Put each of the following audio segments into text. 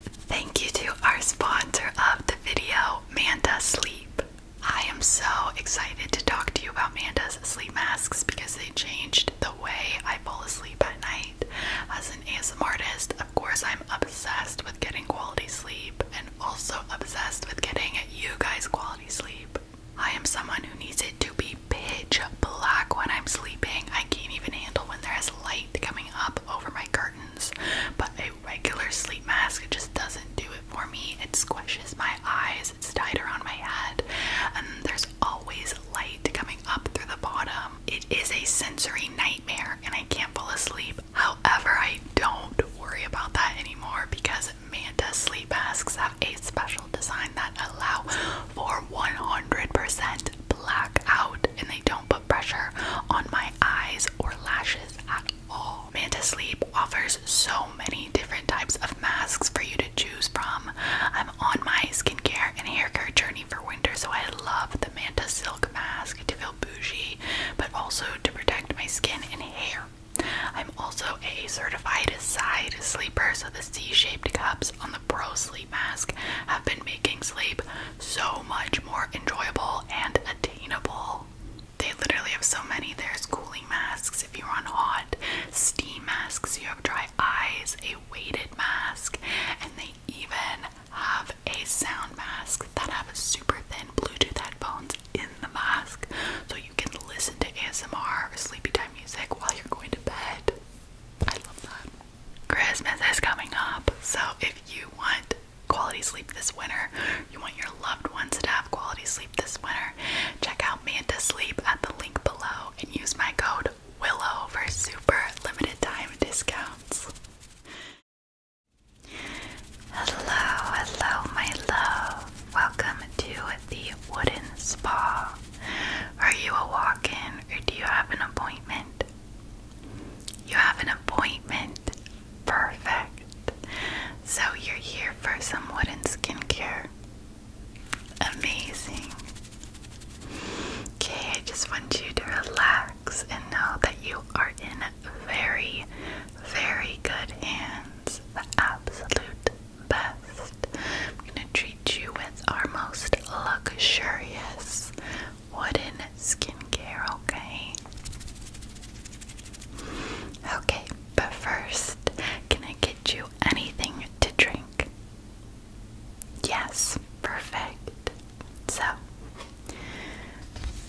Thank you to our sponsor of the video, Manda Sleep. I am so excited to talk to you about Manda's sleep masks because they changed the way I fall asleep at night. As an ASMR artist, of course, I'm obsessed with getting quality sleep and also obsessed with getting you guys quality sleep. I am someone who needs it to be pitch black when I'm sleeping. I can't even handle when there is light coming up over my curtain but a regular sleep mask just doesn't do it for me. It squishes my eyes, it's tied around my head, and there's always light coming up through the bottom. It is a sensory nightmare, and I can't fall asleep. However, I don't worry about that anymore because Manta sleep masks have a special design that allow for 100% blackout, and they don't put pressure on my eyes or lashes at all. Manta Sleep offers so many different types of masks for you to choose from. I'm on my skincare and hair care journey for winter, so I love the Manta Silk mask to feel bougie, but also to protect my skin and hair. I'm also a certified side sleeper, so the C shaped cups on the pro sleep sleep mask have been making sleep so much more enjoyable and attainable. They literally have so many. There's cooling masks if you're on hot, steam masks, you have dry eyes, a weighted mask, and they even have a sound mask that have super thin Bluetooth headphones in the mask so you can listen to ASMR or sleepy time music while you're going to bed. I love that. Christmas is coming up, so if you want quality sleep this winter, you want your loved ones to have quality sleep this winter, check out Manta at the link below and use my code WILLOW for super limited time discounts. Hello, hello, my love. Welcome to the Wooden Spa. Are you a walk in or do you have an appointment? You have an appointment. Perfect. So you're here for some wooden skincare. Amazing. Okay, I just want you to relax and know that you are in very, very good hands. The absolute best. I'm going to treat you with our most luxurious wooden skincare, okay? Okay, but first, can I get you anything to drink? Yes, perfect. So,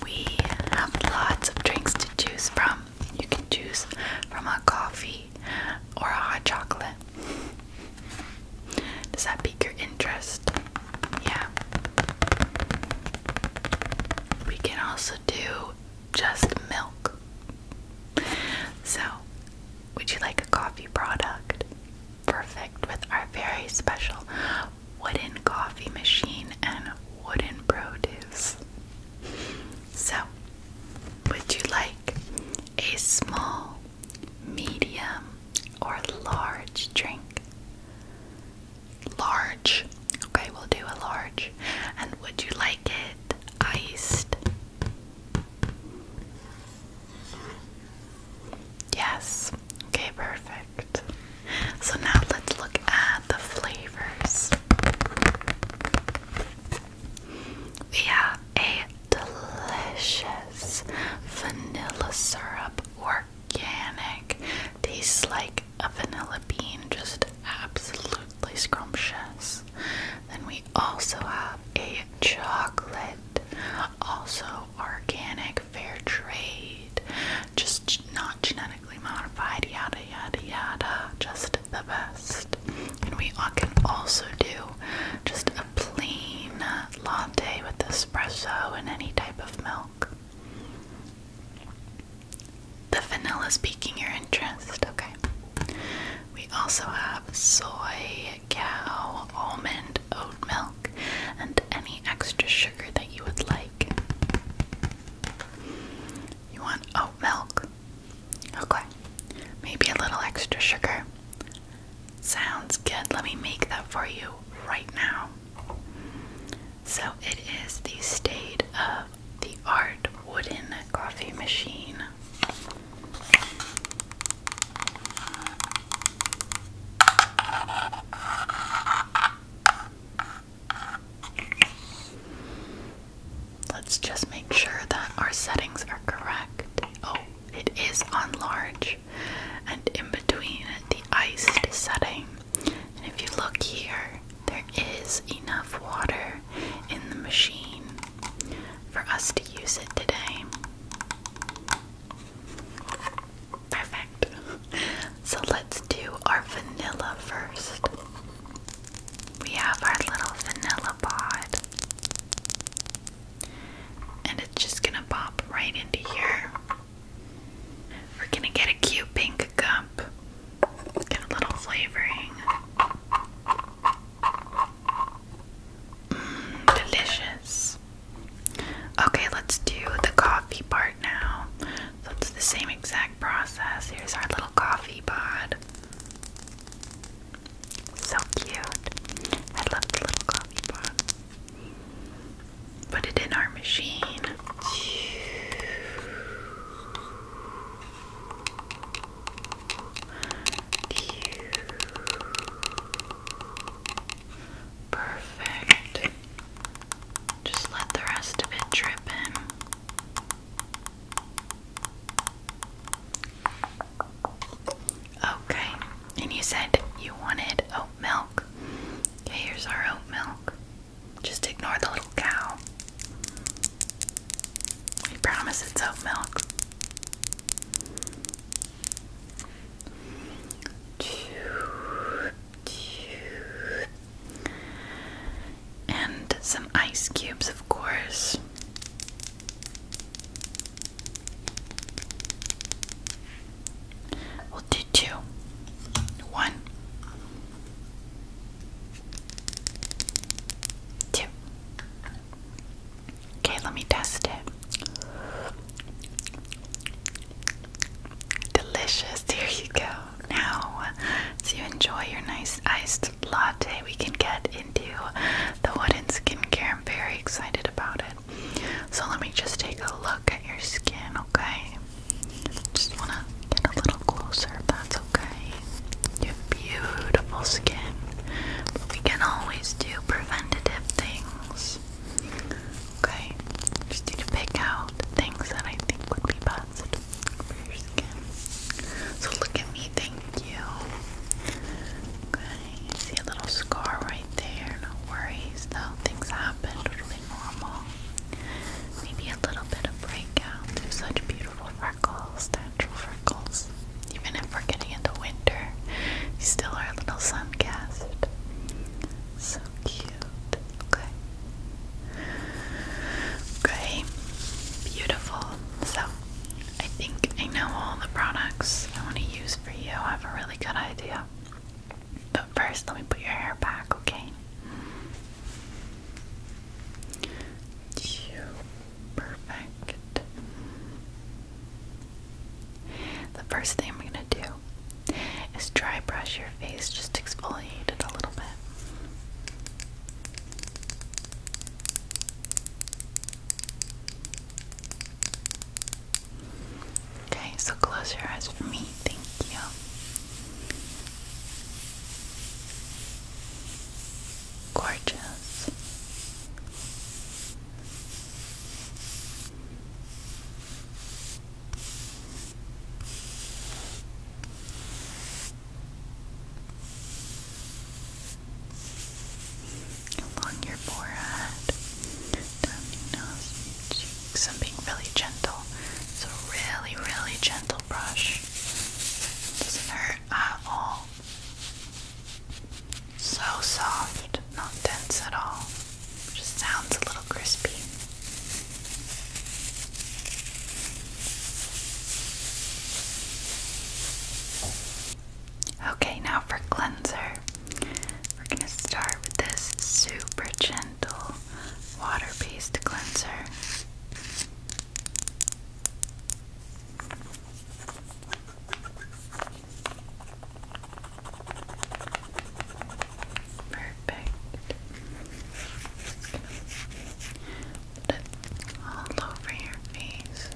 we have lots of drinks to choose from. You can choose from a coffee or a hot chocolate. Does that pique your interest? Yeah. We can also do just milk. So, would you like a coffee product? Perfect with our very special wooden coffee machine and wooden produce. So, would you like a small, medium, or large drink? Large. Okay, we'll do a large. And would you like it iced? Yes. Okay, perfect. So now let's look at the flavors. We have a delicious vanilla syrup or organic. Tastes like a vanilla bean, just absolutely scrumptious. Then we also have a chocolate, also organic, fair trade, just not genetically modified, yada yada yada, just the best. And we uh, can also do just a plain latte with espresso and any type of milk. The vanilla is piquing your interest, okay. We also have soy, cow, almond, oat milk, and any extra sugar that you would like. You want oat milk? Okay. Maybe a little extra sugar. Sounds good. Let me make that for you right now. So, it is the state of the art wooden coffee machine. Let's just make sure that our settings are correct. Oh, it is on large and in between the iced setting. And if you look here, there is enough water in the machine for us to use it today. Perfect. So let's do our vanilla first. We have our little vanilla pod and it's just gonna pop right into here. We're gonna get a cute pink cup, get a little flavoring. Mmm, delicious. Okay, let's do the coffee part now. So it's the same exact process. Here's our little coffee pod. So cute. I love the little coffee pod. Put it in our machine. Perfect. Just let the rest of it drip in. Okay, and you said you wanted milk. Okay, here's our oat milk. Just ignore the little cow. We promise it's oat milk. And some ice cubes, of course. We'll do two. Okay, let me test it. Delicious. Here you go. Now, so you enjoy your nice iced latte, we can get into the wooden skincare. I'm very excited about it. So let me just take a look at your skin, okay? Just wanna get a little closer if that's okay. You have beautiful skin. we can always do preventative things. Okay? Just need to pick out things that I think would be best for your skin. So look at me, thank you. Good see a little scar right there. No worries though, things happen, totally normal. Maybe a little bit of breakout such beautiful freckles, natural freckles. Even if we're getting into winter, still are little suncast. So cute. Okay. Okay. Beautiful. So I think I know all the products I want to use for you. I have a really good idea. But first, let me put your hair back, okay? Perfect. The first thing I'm going to do is dry brush your face, just exfoliate it a little bit. Okay, so close your eyes for me. Thank you. Gorgeous along your forehead, down your nose, cheeks. and being really gentle. It's a really, really gentle brush. doesn't hurt at all. So soft, not dense at all. just sounds a little crispy. Okay, now for cleanser, we're going to start with this super gentle water based cleanser. Perfect. Put all over your face.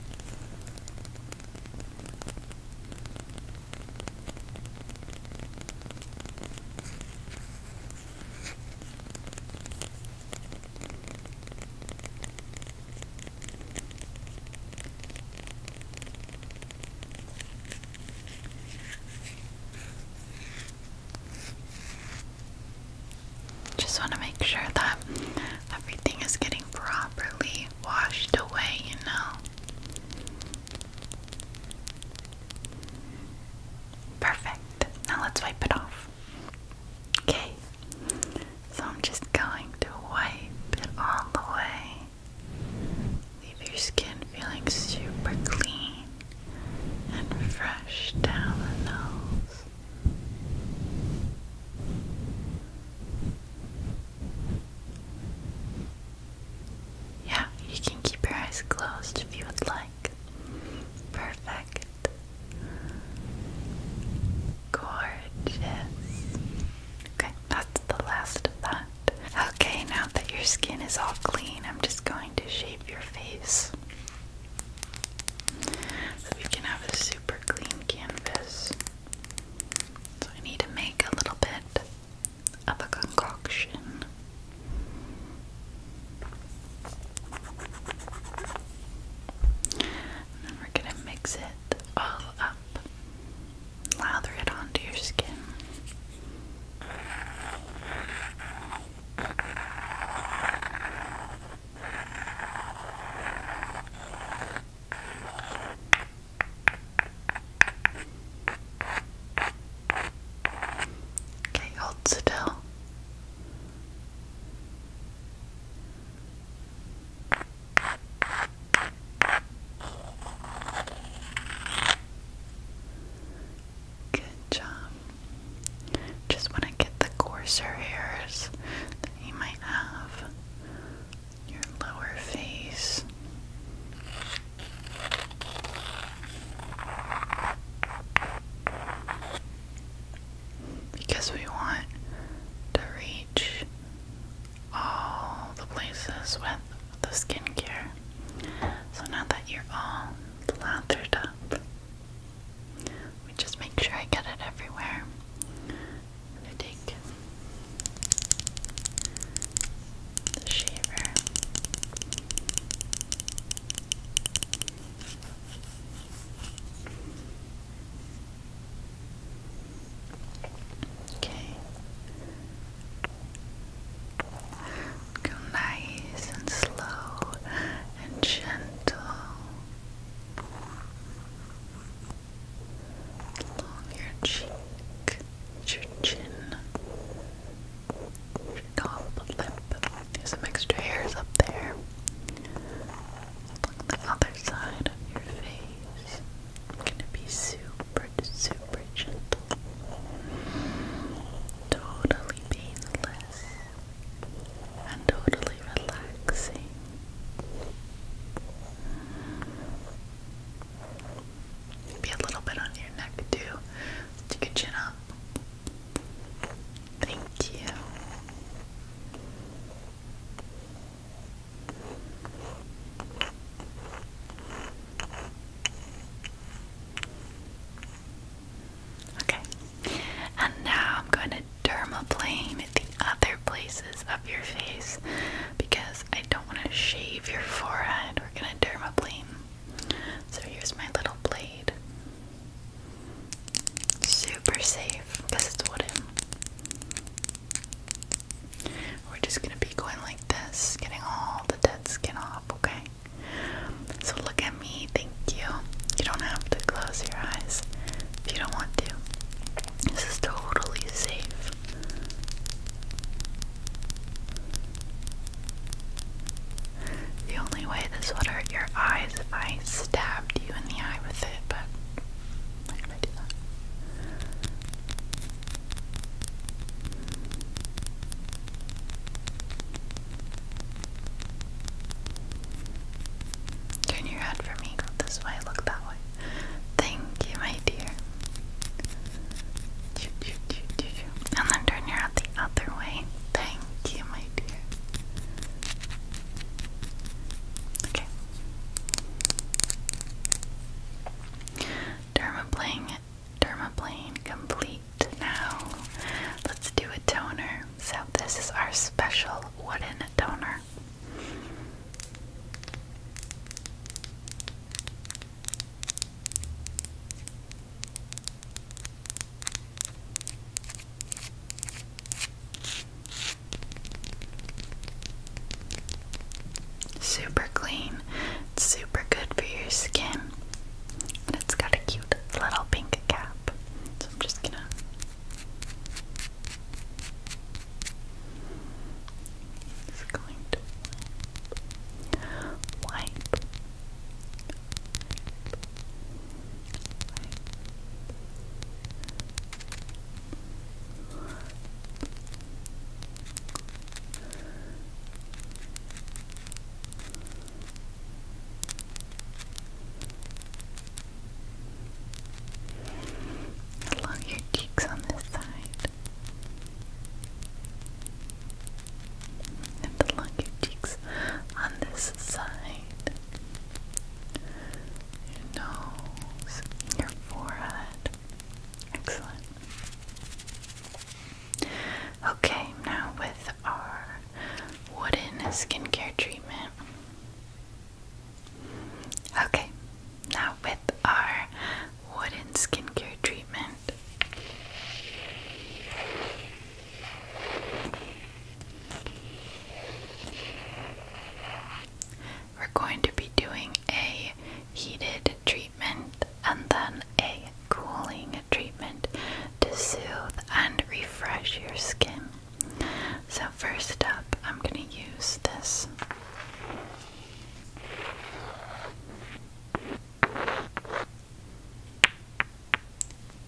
Just want to make sure that everything is getting properly washed away, you know. Perfect. Now let's wipe it off. Okay. So I'm just going to wipe it all away. Leave your skin feeling super clean and fresh down the nose. Yeah, you can keep your eyes closed if you would like. Perfect. Gorgeous. Okay, that's the last of that. Okay, now that your skin is all clean, I'm just going to shape your face. So we can have a super clean canvas. So I need to make a little bit of a concoction. And then we're going to mix it all up. Lather it onto your skin. Okay, hold still. Good job. Just want to get the coarser hairs you might have your lower face. Because we want to reach all the places with the skincare. So now that you're all lathered up, we just make sure I get it everywhere. I take the shaver. Okay. Go nice and slow and gentle along your cheek, your chin, your top lip. some extra hairs up there. Look the other side of your face. gonna be super, super gentle. Totally painless and totally relaxing. Maybe a little bit on your neck too. Stick your chin up. Thank you. Okay, and now I'm going to dermaplane the other places of your face because I don't want to shave your forehead. We're going to dermaplane. So here's my little blade. Super safe because it's wooden. We're just going to be going like this, getting all the dead skin off, okay? So look at me, thank you. You don't have to close your eyes if you don't want to. This is totally safe. The only way this would hurt your eyes if I stabbed you in the eye with it, but I'm not do that. Turn your head for me, go this way, look that way. Thank you, my dear. And then turn your head the other way. Thank you, my dear. Okay. Dermaplane, dermaplane complete now. Let's do a toner. So this is our special wooden toner. Super clean, it's super good for your skin, and it's got a cute little pink cap. So I'm just gonna just going to wipe, wipe. Wipe, along your cheeks on this side, and along your cheeks on this side, your nose, your forehead. Excellent. Okay, now with our wooden skincare treatment. Okay, now with our wooden skincare treatment. We're going to be doing a heated treatment and then a cooling treatment to soothe and refresh your skin. So, first up, I'm going to use this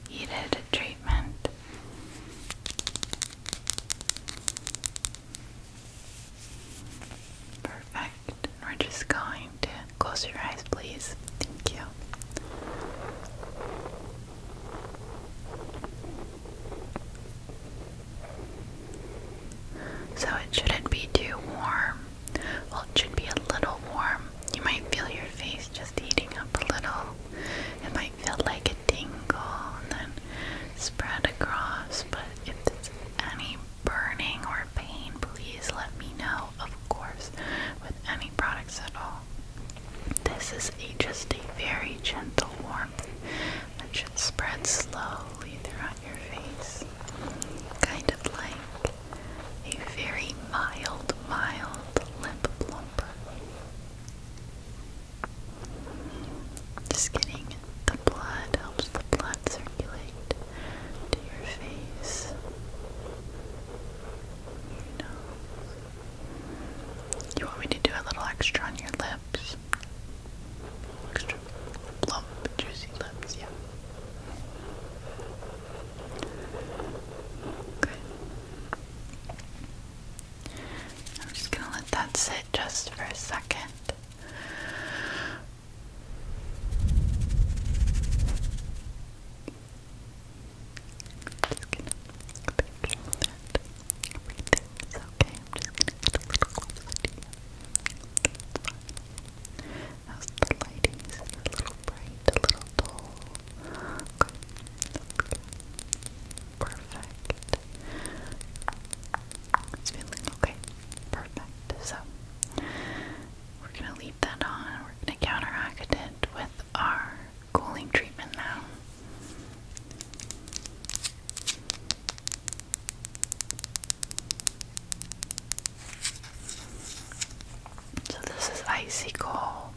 Heated treatment. Perfect. We're just going to close your eyes, please. Thank you. So it shouldn't be too warm. Well, it should be a little warm. You might feel your face just heating up a little. It might feel like a tingle and then spread across. But if there's any burning or pain, please let me know, of course, with any products at all. This is just a very gentle warmth that should spread slow slowly throughout your face, kind of like a very mild, mild lip plump. Just kidding, the blood helps the blood circulate to your face, You want me to do a little extra on your lip? Extra plump, juicy lips, yeah. Okay. I'm just gonna let that sit just for a second. Just gonna go back Everything's okay. just a little closer to you. It's fine. How's the lighting? Is it a little bright? A little dull? Perfect. It's feeling okay. Perfect. So we're gonna leave that on. We're gonna counteract it with our cooling treatment now. So this is icy cold,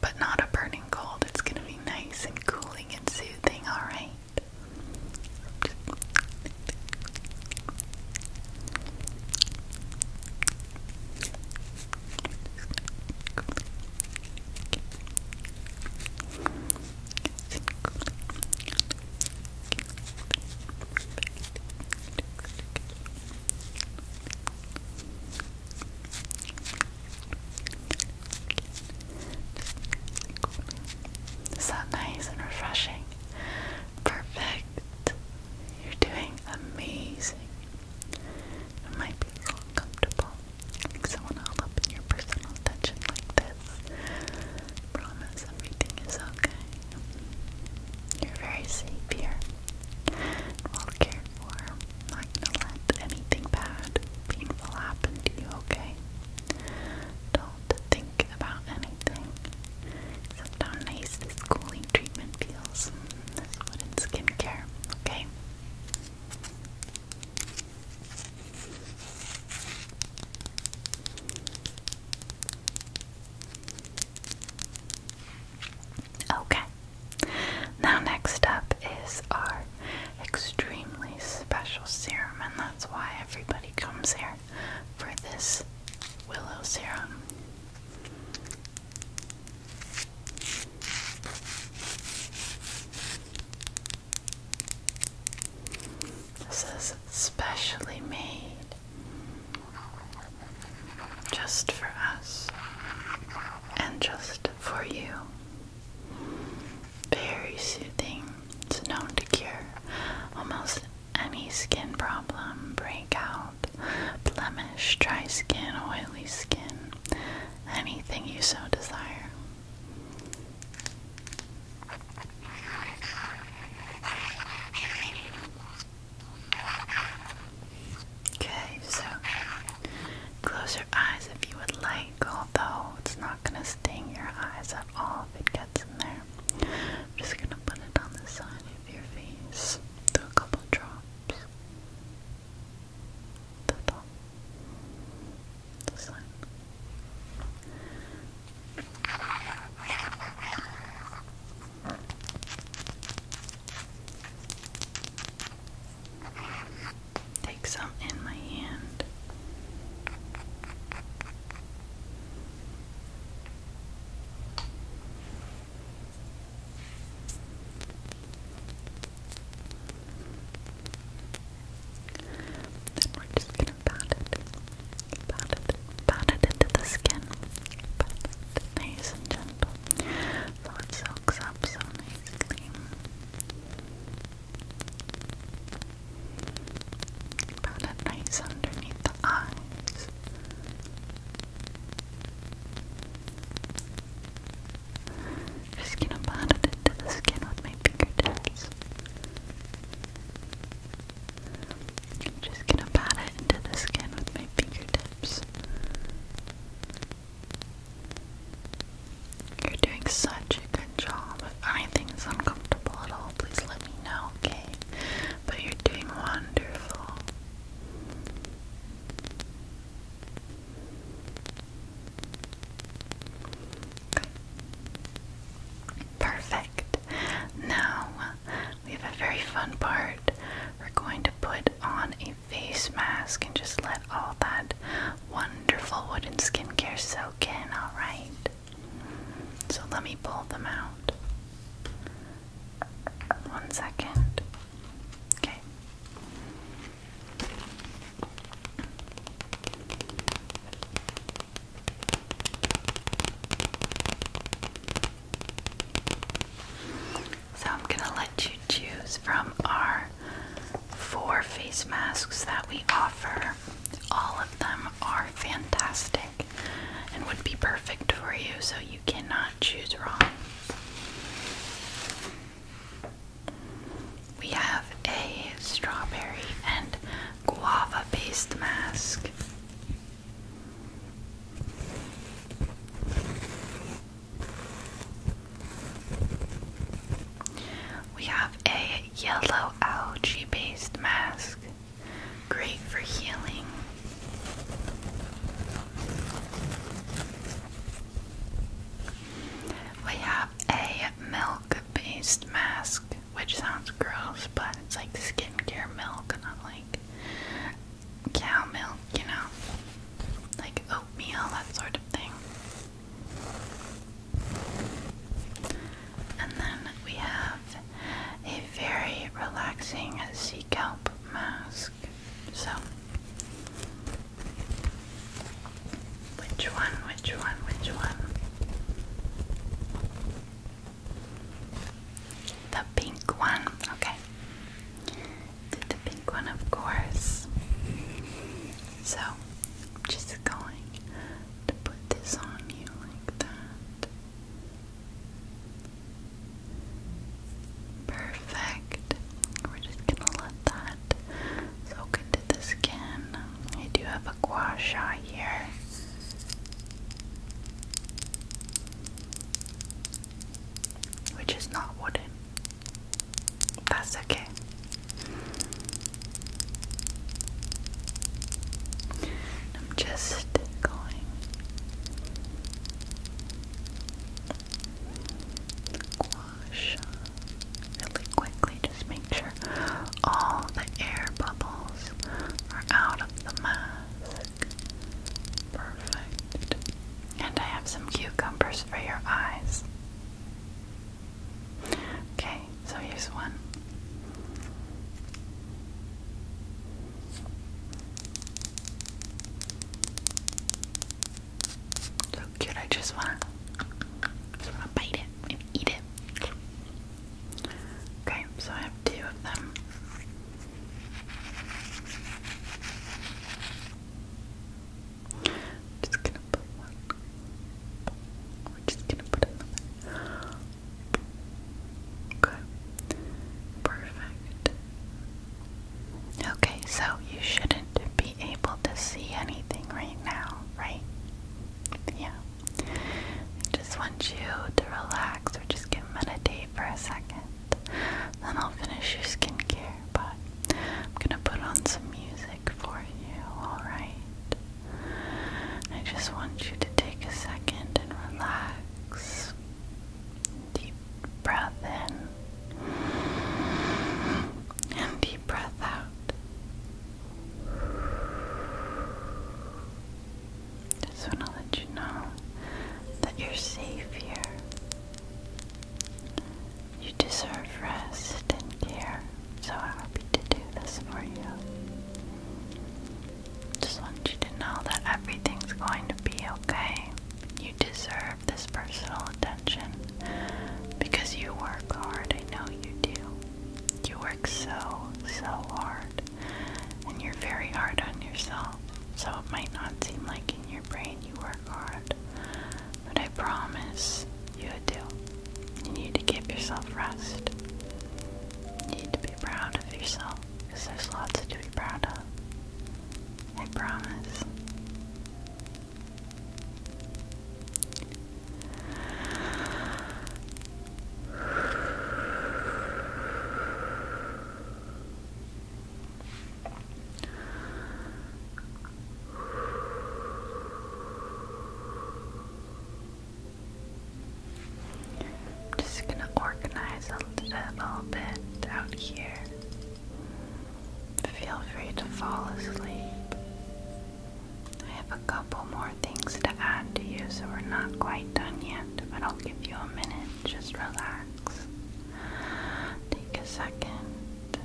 but not a burning cold. It's going to be nice and cooling and soothing, alright? Is nice and refreshing? Perfect. You're doing amazing. It might be a little uncomfortable like someone all your personal attention like this. promise everything is okay. You're very safe here. Well cared for. Not gonna let anything bad, painful happen to you, okay? Don't think about anything. Except how nice this cooling treatment feels. This wooden skincare, okay? Okay, now next up is our extremely special serum, and that's why everybody comes here for this willow serum. This is specially made just for us and just for you. Very soothing. It's known to cure almost any skin problem, breakout, blemish, dry skin, oily skin, anything you so desire. Okay, so close your eyes if you would like, although it's not going to sting your eyes at all if it gets in there. I'm just going to put it on the side of your face, do a couple drops. That's this line. Take some in my hand. Then we're just gonna pat it, pat it, pat it into the skin. Pat it nice and gentle. So it soaks up so nicely. Pat it nice underneath the eyes. Just gonna pat it into the skin with my fingertips. I'm just gonna pat it into the skin with my fingertips. You're doing such a good job. If anything is uncomfortable at all, please let me know, okay? But you're doing wonderful. Perfect. Now we have a very fun part. We're going to put on a face mask and just let all that wonderful wooden skincare soak in, alright? So let me pull them out. One second. Okay. So I'm going to let you choose from our four face masks that we offer. All of them are fantastic and would be perfect for you, so you cannot choose wrong. We have a strawberry and guava based mask. We have a yellow algae based mask, great for healing. We have a milk based mask, which sounds gross, but it's like skincare milk, not like cow milk, you know, like oatmeal, that sort of thing. And then we have a very relaxing sea kelp mask. So which one? Which one? Which one? The pink one. Okay. the pink one, of course. So, just going to put this on you like that. Perfect. We're just gonna let that that soak into the skin. I do have a gua sha here. Which is not wooden. That's okay. I'm just going gua really quickly. Just make sure all the air bubbles are out of the mask. Perfect. And I have some cucumbers for your eyes. Okay, so here's one. So cute, I just wanna, just wanna bite it eat it. Okay, so I have two of them. Just gonna put one. We're just gonna put another. Perfect. Okay, so you should not to be able to see anything right now, right? Yeah. I just want you to relax or just meditate for a second. Then I'll finish your skincare, but I'm gonna put on some music for you, alright? I just want you to take a second and relax. Deep breath in and deep breath out. Just want to let you know that you're safe here. You deserve rest and so I'm happy to do this for you. Just want you to know that everything's going to be okay. You deserve this personal attention. Because you work hard, I know you do. You work so, so hard. And you're very hard on yourself. So it might not seem like in your brain you work hard. But I promise you do. You need to give yourself rest. You need to be proud of yourself. Because there's lots to be proud of. I promise. I'm just going to organize a little bit out here. Feel free to fall asleep. I have a couple more things to add to you, so we're not quite done yet, but I'll give you a minute. Just relax. Take a second.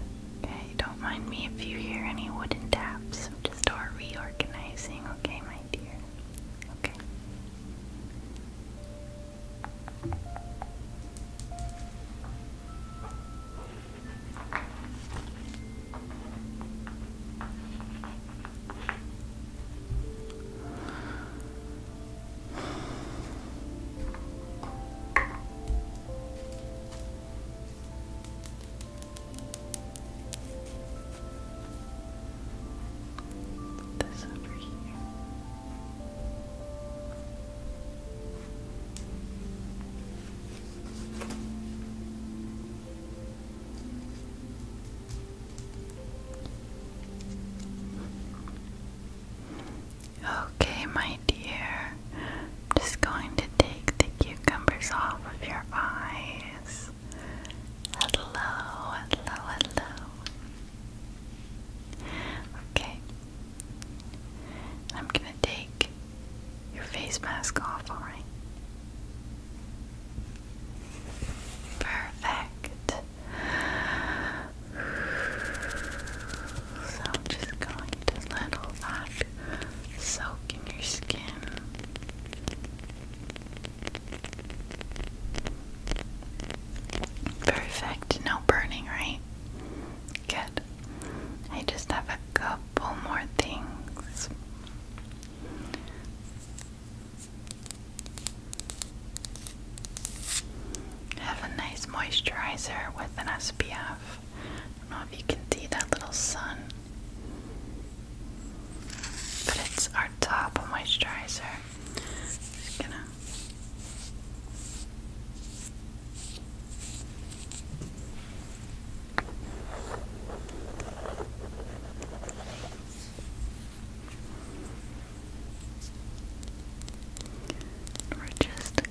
Okay, don't mind me if you hear any wooden taps. just start reorganizing, okay, my dear? Okay. This over here. Okay, my dear, I'm just going to take the cucumbers off of your eyes. Hello, hello, hello. Okay, I'm going to take your face mask off, alright? Perfect. So just going to let all that soak in your skin. Perfect. No burning, right? Good. I just have a couple more things. Have a nice moisturizer with an SPF. I don't know if you can see that little sun, but it's our top moisturizer. We're just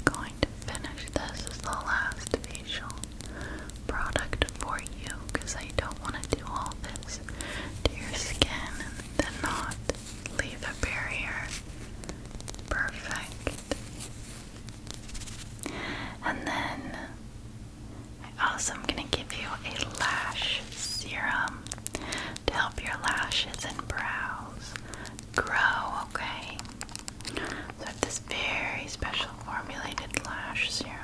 going to finish this as the last facial product for you because I don't want to do all this to your skin and then not leave a barrier. Perfect. And then also, I am going to give you a lash serum to help your lashes and brows grow, okay? So this very special formulated lash serum.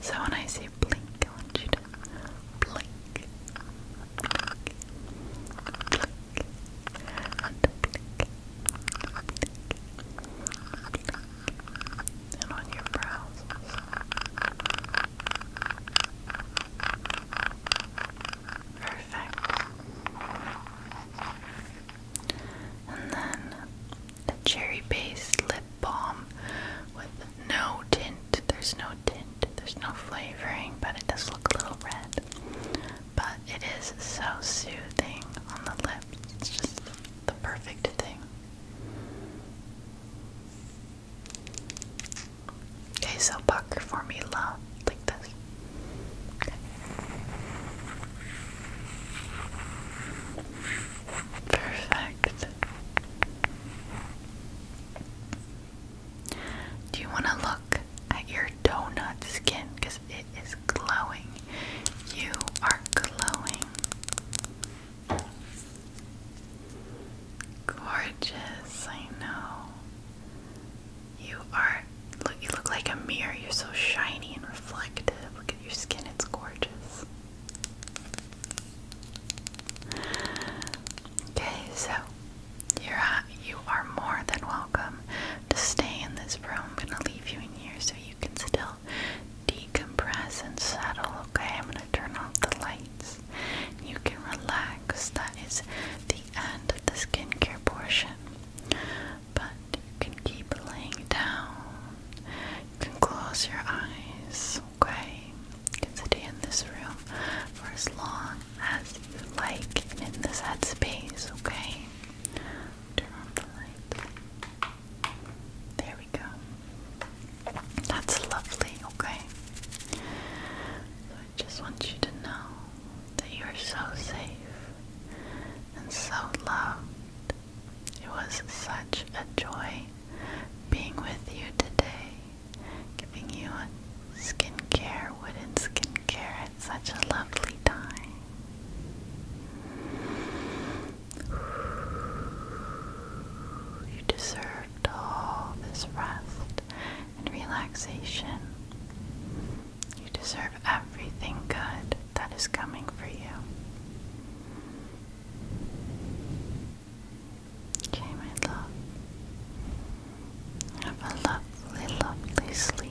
So when I say blink, I want you to blink, and on your brows. Perfect. And then a cherry based lip balm with no tint. There's no tint, there's no flavoring, but it does look a little red. But it is so soothing on the lips. It's just the perfect thing. Okay, so pucker for me, love, like this. Perfect. Do you want to look at your donut skin? Because it is glowing. You are glowing. Gorgeous, I know. You are. Look, you look like a mirror. You're so shiny and reflective. Look at your skin, it's gorgeous. Okay, so you're uh, you are more than welcome to stay in this room. I'm gonna leave you in here so you can still decompress and settle. Okay, I'm gonna turn off the lights. You can relax. That is the end of the skincare portion but you can keep laying down. You can close your eyes, okay? You can stay in this room for as long as you like in this headspace, okay? Turn on the light. There we go. That's lovely, okay? I just want you to know that you are so safe and so loved it was such a joy being with you today, giving you a skincare, wooden skincare at such a lovely time. You deserved all this rest and relaxation. You deserve everything good that is coming for you. Okay, my love. Have a lovely, lovely sleep.